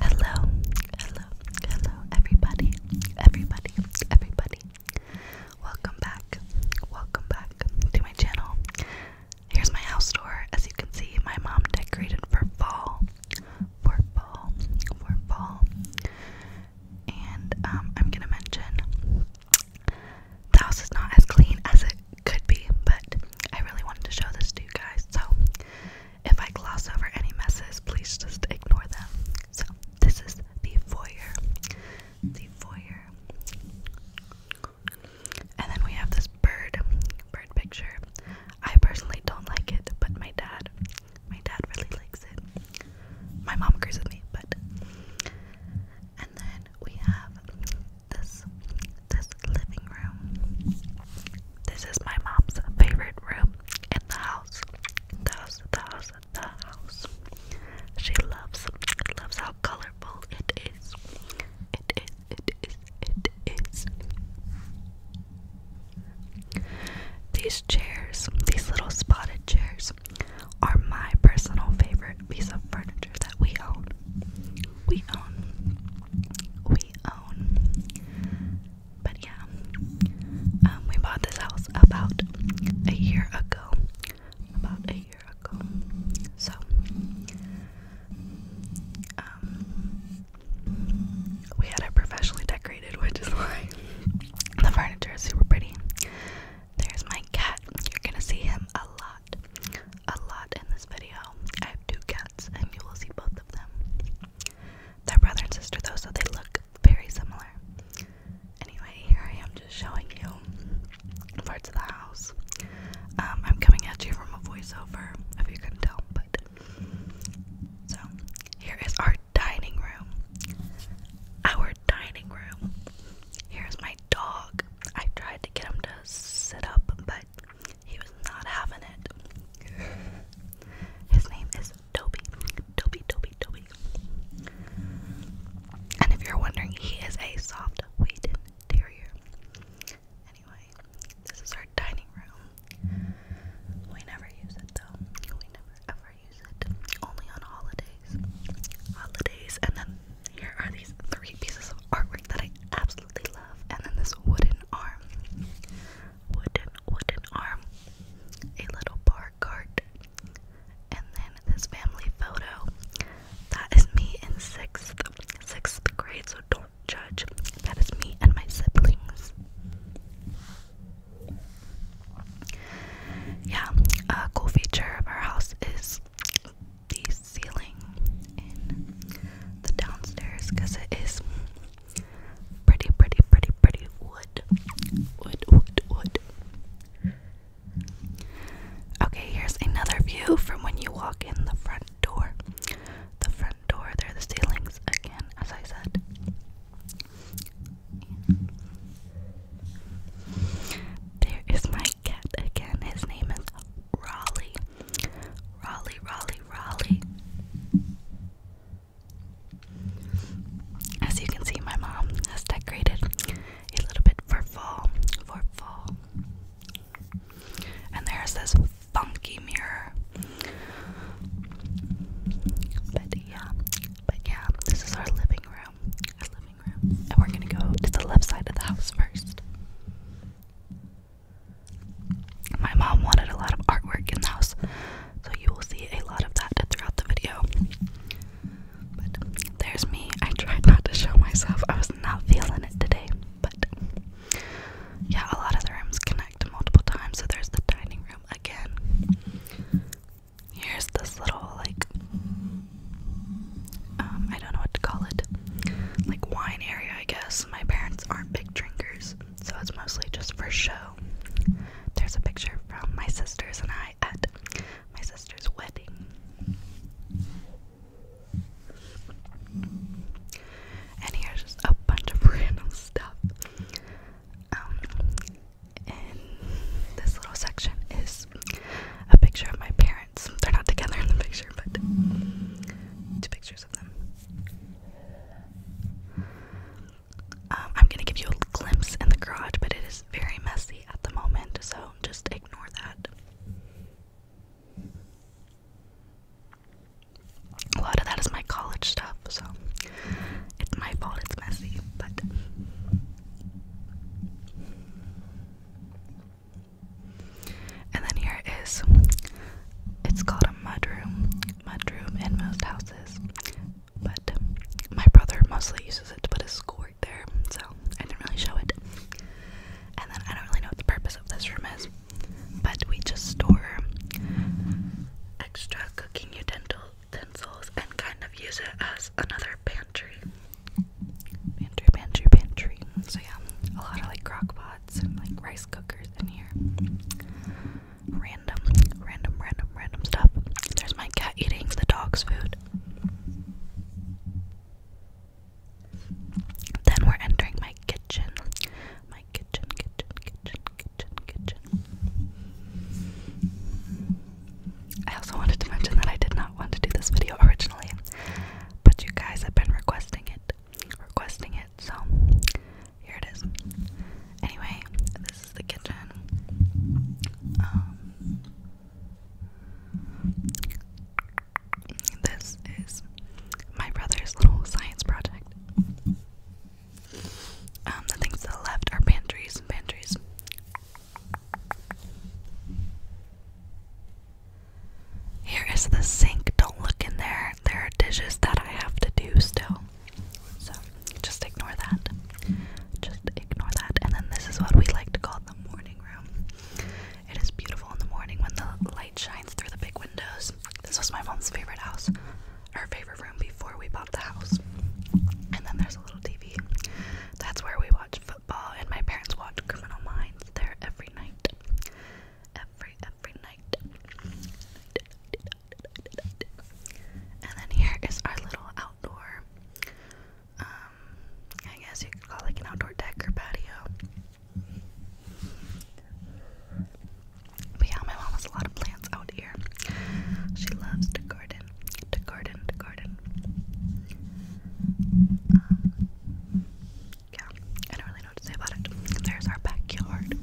Hello, hello, hello, everybody, everybody, everybody. Welcome back, welcome back to my channel. Here's my house tour. As you can see, my mom decorated for fall, for fall, for fall. And um, I'm gonna mention the house is not as clean as it could be, but I really wanted to show this to you guys. So if I gloss over any messes, please just ignore them. So, this is the foyer. The foyer. And then we have this bird, bird picture. I personally don't like it, but my dad, my dad really likes it. My mom agrees with me, but. And then we have this, this living room. This is my mom's favorite room in the house. The house, the house, the house. She loves, loves how colorful it is. It is, it is, it is. These chairs, these little spotted chairs, are my personal favorite piece of furniture that we own. We own, we but yeah, um, we bought this house about a year ago. About a year ago. So, um, we had it professionally decorated, which is why the furniture is super pretty. There's my cat. You're gonna see him a lot, a lot in this video. I have two cats, and you will see both of them. They're brother and sister though, so they look very similar. Anyway, here I am just showing you parts of the house. Um, I'm coming at you from a voiceover, if you couldn't tell, but so here is our dining room. Our dining room. Here's my dog. I tried to get him to sit up, but he was not having it. His name is Toby. Toby, Toby, Toby. And if you're wondering, he is a soft weighted terrier. Anyway, this is our dining room. We never use it though. We never ever use it. Only on holidays. Holidays. And then here are these three pieces of artwork that I absolutely love. And then this wooden arm wooden wooden arm, a little bar cart, and then this family photo. That is me in sixth sixth grade, so don't judge. That is me and my siblings. Yeah, a cool feature of our house is the ceiling in the downstairs because it is Pretty, pretty, pretty, pretty wood. Wood, wood, wood. Okay, here's another view from when you walk in the front door. The front door, there are the ceilings again, as I said. There is my cat again. His name is Raleigh. Raleigh, Raleigh, Raleigh. As you can see, my mom has decorated a little bit for fall, for fall. And there's this funky mirror. But yeah, but yeah, this is our living room, our living room, and we're gonna go to the left side of the house first. My mom wanted a lot of artwork in the house, so you will see a lot of that throughout the video. But there's me. I tried not to show myself. I was not feeling it today, but yeah, a lot of the rooms connect multiple times. So there's the dining room again. Here's this little like um, I don't know what to call it. Like wine area, I guess. My parents aren't big drinkers so it's mostly just for show. There's a picture from my sisters and I at my sister's wedding. And here's just a bunch of random stuff. Um, and this little section is a picture of my parents. They're not together in the picture, but two pictures of them. Um, I'm gonna give you a glimpse in the garage, but it is very messy at the moment, so just ignore that. A lot of that is my college stuff, so it's my fault it's messy, but. And then here is, it's called a mudroom, mudroom in most houses, but my brother mostly uses it to put his schoolwork there, so I didn't really show it. And then I don't really know what the purpose of this room is, but we just store extra cooking utensils and kind of use it as another pantry. Pantry, pantry, pantry. So yeah, a lot of like crock pots and like rice cookers in here random, random, random, random stuff. There's my cat eating the dog's food. Then we're entering my kitchen. My kitchen, kitchen, kitchen, kitchen, kitchen. I also wanted to mention that I did not want to do this video originally, but you guys have been requesting it requesting it, so here it is. Anyway, this is the kitchen. Um, this is my brother's little science project. Um, the things to the left are pantries pantries. Here is the sink. Don't look in there. There are dishes that I have to do still. So just ignore that. Just ignore that. And then this is what we like to call the morning room. It is beautiful in the morning when the light shines through the big windows. This was my mom's favorite house, her favorite room before we bought the house. And then there's a little TV. That's where we watch football, and my parents watch Criminal Minds there every night every every night. And then here is our little outdoor um I guess you could call it like an outdoor deck or patio. But yeah, my mom has a lot of plants out here. She loves to garden, to garden, to garden. Um, yeah, I don't really there's our backyard.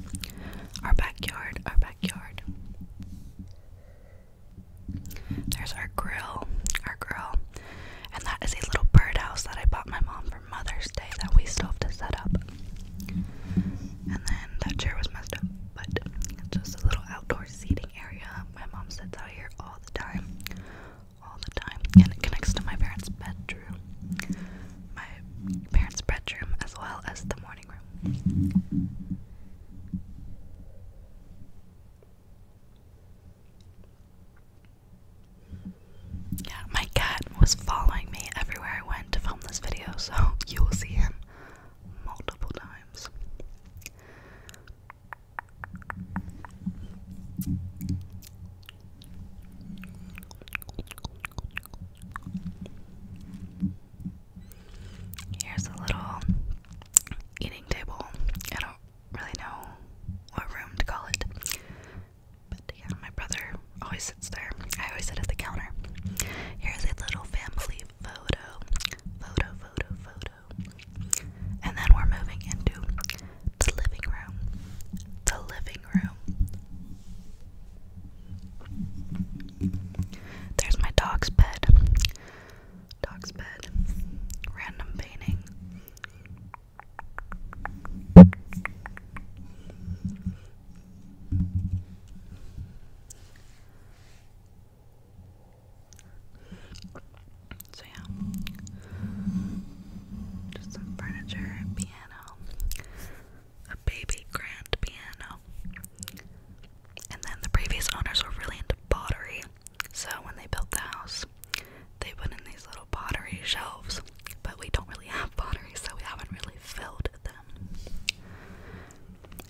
Our backyard, our backyard. There's our grill, our grill. And that is a little birdhouse that I bought my mom for Mother's Day that we still have to set up. And then that chair was messed up, but it's just a little outdoor seating area. My mom sits out here all the time. All the time. And it connects to my parents' bedroom. My parents' bedroom as well as the morning yeah, my cat was following me everywhere I went to film this video, so you will see him multiple times. Here's a little eating table. I don't really know what room to call it. But yeah, my brother always sits there. I always sit at the counter. Here's a little family photo. Photo, photo, photo. And then we're moving into the living room. The living room. There's my dog's bed. Dog's bed. Random painting. So, yeah, just some furniture, piano, a baby grand piano. And then the previous owners were really into pottery, so when they built the house, they put in these little pottery shelves. But we don't really have pottery, so we haven't really filled them.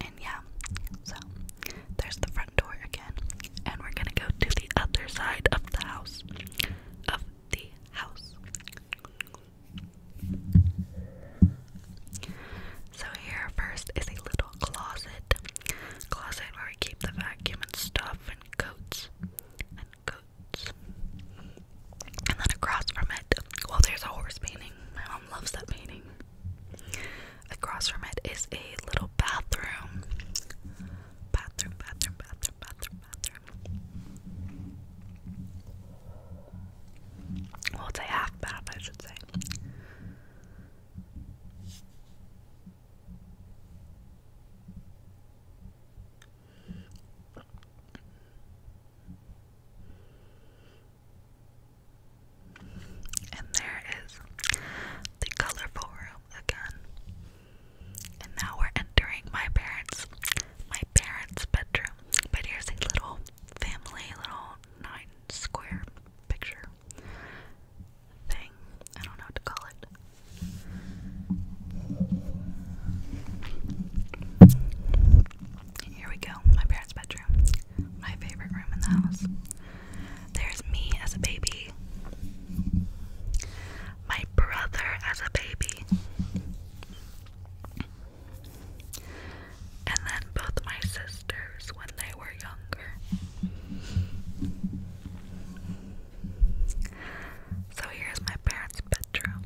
And yeah, so there's the front door again, and we're gonna go to the other side of the house. Of the house. So here first is a little closet. Closet where we keep the vacuum and stuff and coats and coats. And then across from it, well there's a horse painting. My mom loves that painting. Across from it is a little bathroom. Bathroom, bathroom, bathroom, bathroom, bathroom. Well, it's a half bath, I should say. And there is the colorful room again. And now we're entering my parents' my my parents' bedroom. But here's a little family, little nine square picture thing. I don't know what to call it. Here we go, my parents' bedroom. My favorite room in the house. There's me as a baby. My brother as a baby. And then both my sisters when they were younger. So here's my parents' bedroom.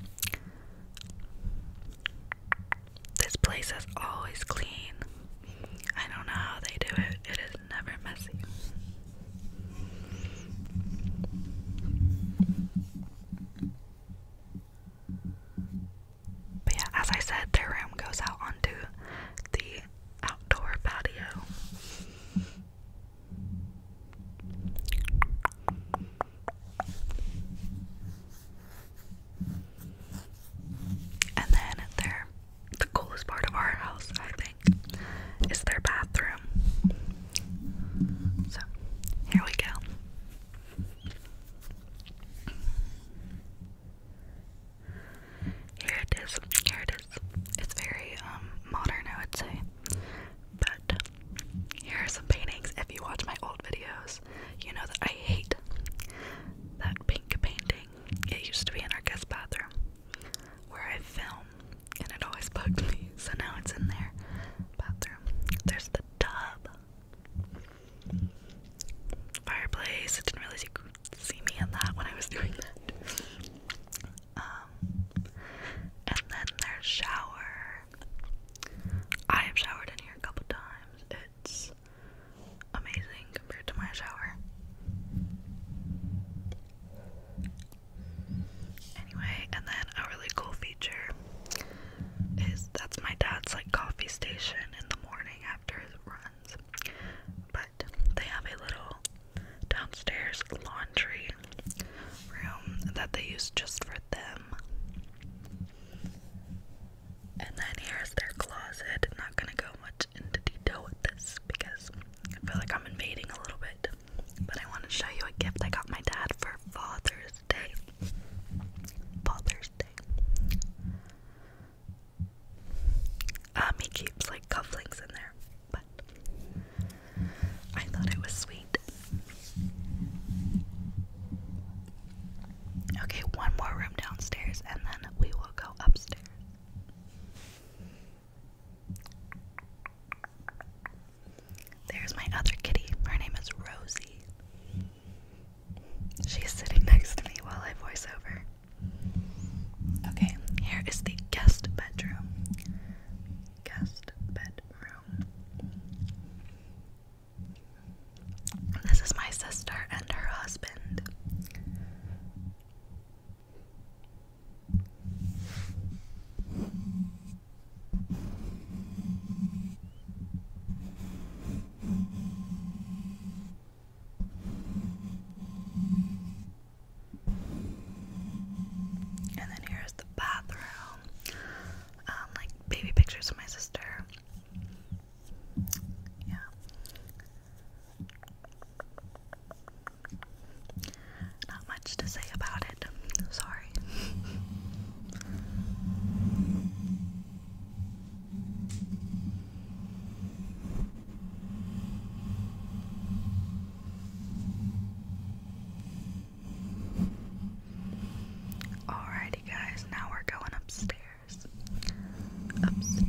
This place is always clean. I don't know how they do it, it is never messy. But yeah, as I said, their room goes out onto the outdoor patio. And then their the coolest part of our house, I think, is their bathroom. So, here we go. Here it is. Here it is. It's very um modern, I would say. But here are some paintings. If you watch my old videos, you know that I hate that pink painting. It used to be in our guest bathroom where I film, and it always bugged me. So now it's in their bathroom. There's the tub. Fireplace. It didn't really see me in that when I was doing that. Um, and then there's shower. I have showered in here a couple times. It's amazing compared to my shower. Anyway, and then a really cool feature is that's my dad's like coffee station in the morning after his runs. But they have a little downstairs laundry room that they use just for them. And then here's their closet. I'm not gonna go much into detail with this because I feel like I'm invading a little bit. But I want to show you a gift I got my dad for Father's Day. Father's um, he keeps like cufflinks in there, but I thought it was sweet. Okay, one more room downstairs, and then we will go upstairs. There's my other kitty. Her name is Rosie. She's sitting next to me while I voice over. Okay, here is the guest bedroom. Guest bedroom. This is my sister and her husband. And then here's the bathroom. Um, like baby pictures of my sister. Yeah. Not much to say about it. Sorry. Alrighty, guys, now we're going upstairs. Upstairs.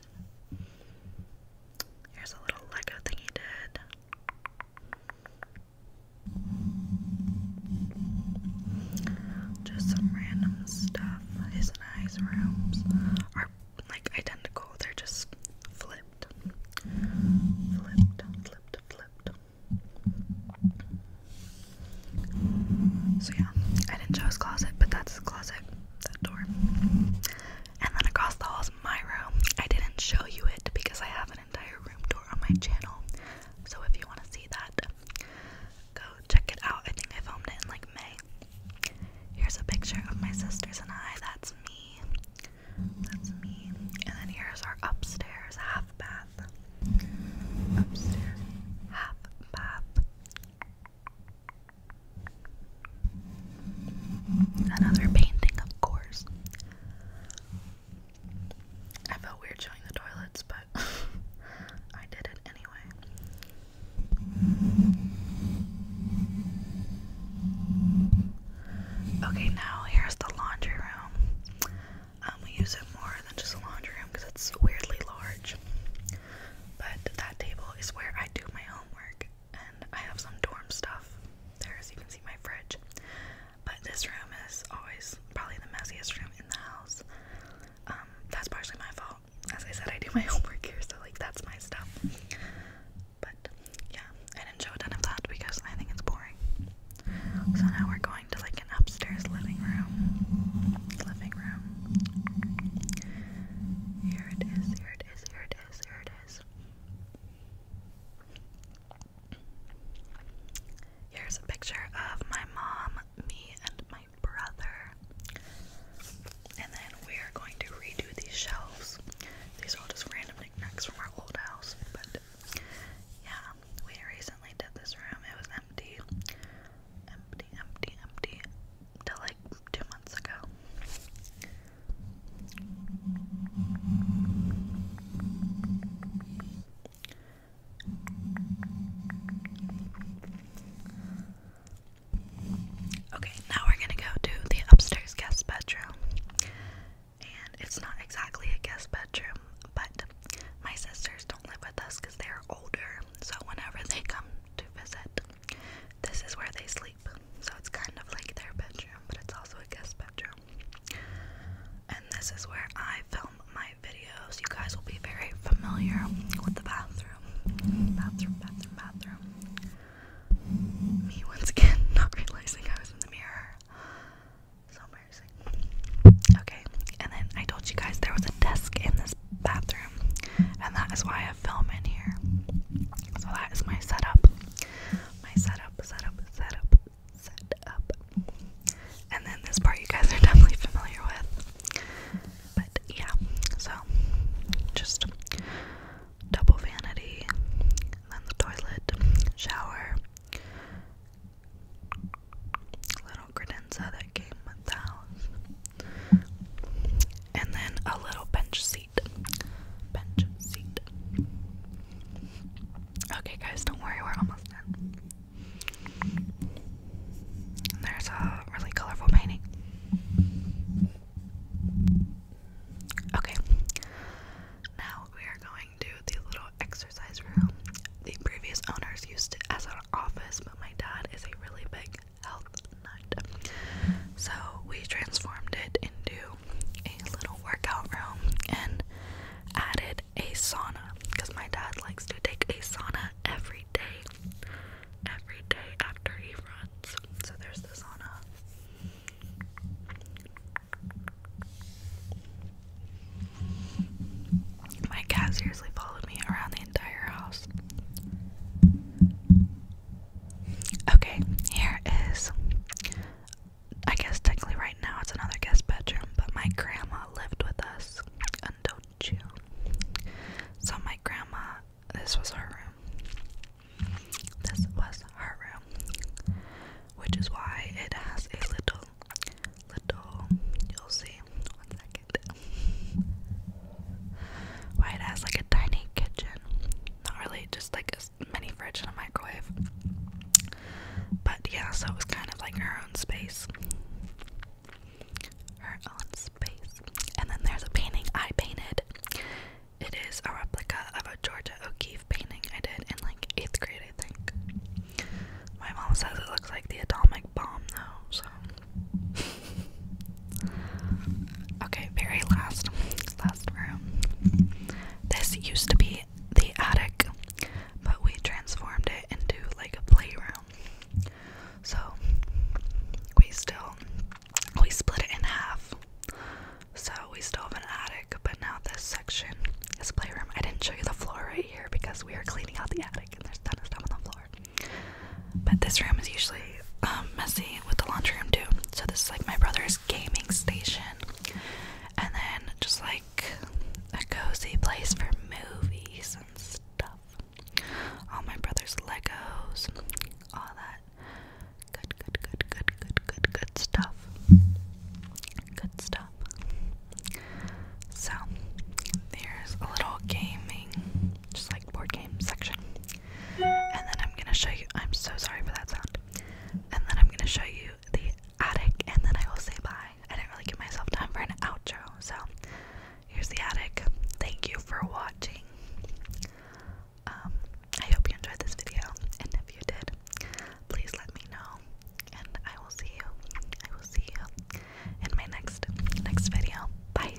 Here's a little Lego thing he did. Just some random stuff. His and I's rooms are like identical, they're just flipped. Flipped, flipped, flipped. So, yeah, I didn't show his closet, but that's his closet that door. And then across the hall is my room. I didn't show you it because I have an entire room door on my channel. So if you want to see that, go check it out. I think I filmed it in like May. Here's a picture of my sisters and I. That's me. That's me. And then here's our upstairs half bath. Upstairs half bath. Another painting, of course. I felt weird showing the toilets, but I did it anyway. Okay, now here's the laundry room. Um, we use it more than just a laundry room because it's weirdly large. But that table is where I do my homework, and I have some dorm stuff there, as you can see my fridge. But this room is always probably the messiest room in the house. Um, that's partially my fault. As I said, I do my homework here, so like that's my stuff. But yeah, I didn't show a ton of that because I think it's boring. So now we're going to like an upstairs living room. Living room. Here it is, here it is, here it is, here it is. Here's a picture of my mom, me, and my brother. And then we're going to redo these shelves. These are all just random knickknacks from our old house, but yeah, we recently did this room. It was empty empty, empty, empty till like two months ago. Okay, now we're gonna go to the upstairs guest bedroom. And it's not exactly a guest bedroom, but my sisters don't live with us because they're older. So whenever they come to visit, this is where they sleep, so it's kind of like their bedroom, but it's also a guest bedroom. And this is where I film my videos. You guys will be very familiar with the bathroom. Bathroom, bathroom, bathroom. Me once again not realizing I was in the mirror. So embarrassing. Okay, and then I told you guys there was a desk in this bathroom, and that is why I film in here. So that is my setup. My setup, setup, setup, setup. And then this part you guys are definitely familiar with. But yeah, so just double vanity, then the toilet, shower, little credenza that came with the house and then a little bench seat. Bench seat. Okay, guys, don't worry, we're almost done. there's a really colorful painting. Okay, now we are going to the little exercise room. The previous owners used it as an office, but my dad is a really big health nut. So we transformed it into a little workout room and added a sauna because my dad likes to take a sauna every day. Every day after he runs. So there's the sauna. My cat seriously followed me around the entire house. Okay, here is I guess technically right now it's another guest bedroom, but my grandma lived with us until June. So my grandma this was her room. This was her room. Which is why it has a little little you'll see one second why it has like a tiny kitchen. Not really, just like a mini fridge and a microwave. But yeah, so it was kind of like her own space. Her own space. And then there's a painting I painted. It is a replica of a Georgia O'Keeffe painting I did in like eighth grade, I think. My mom says it looks like the atomic bomb, though, so okay, very last, last room. This used to be the attic, but we transformed it into like a playroom. So we still we split it in half. So we still have an attic, but now this section is playroom. I didn't show you the floor right here because we are cleaning out the attic and there's a of stuff on the floor. But this room is usually um, messy with the laundry room too. So this is like my brother's gaming station, and then just like a cozy place for movies and stuff. All my brother's Legos, all that good, good, good, good, good, good, good stuff. Good stuff. So there's a little gaming, just like board game section. And then I'm gonna show you. I'm so sorry for that sound. And then I'm gonna show you the attic, and then I will say bye. I didn't really give myself time for an outro, so here's the attic. Thank you for watching. Um, I hope you enjoyed this video, and if you did, please let me know. And I will see you. I will see you in my next next video. Bye.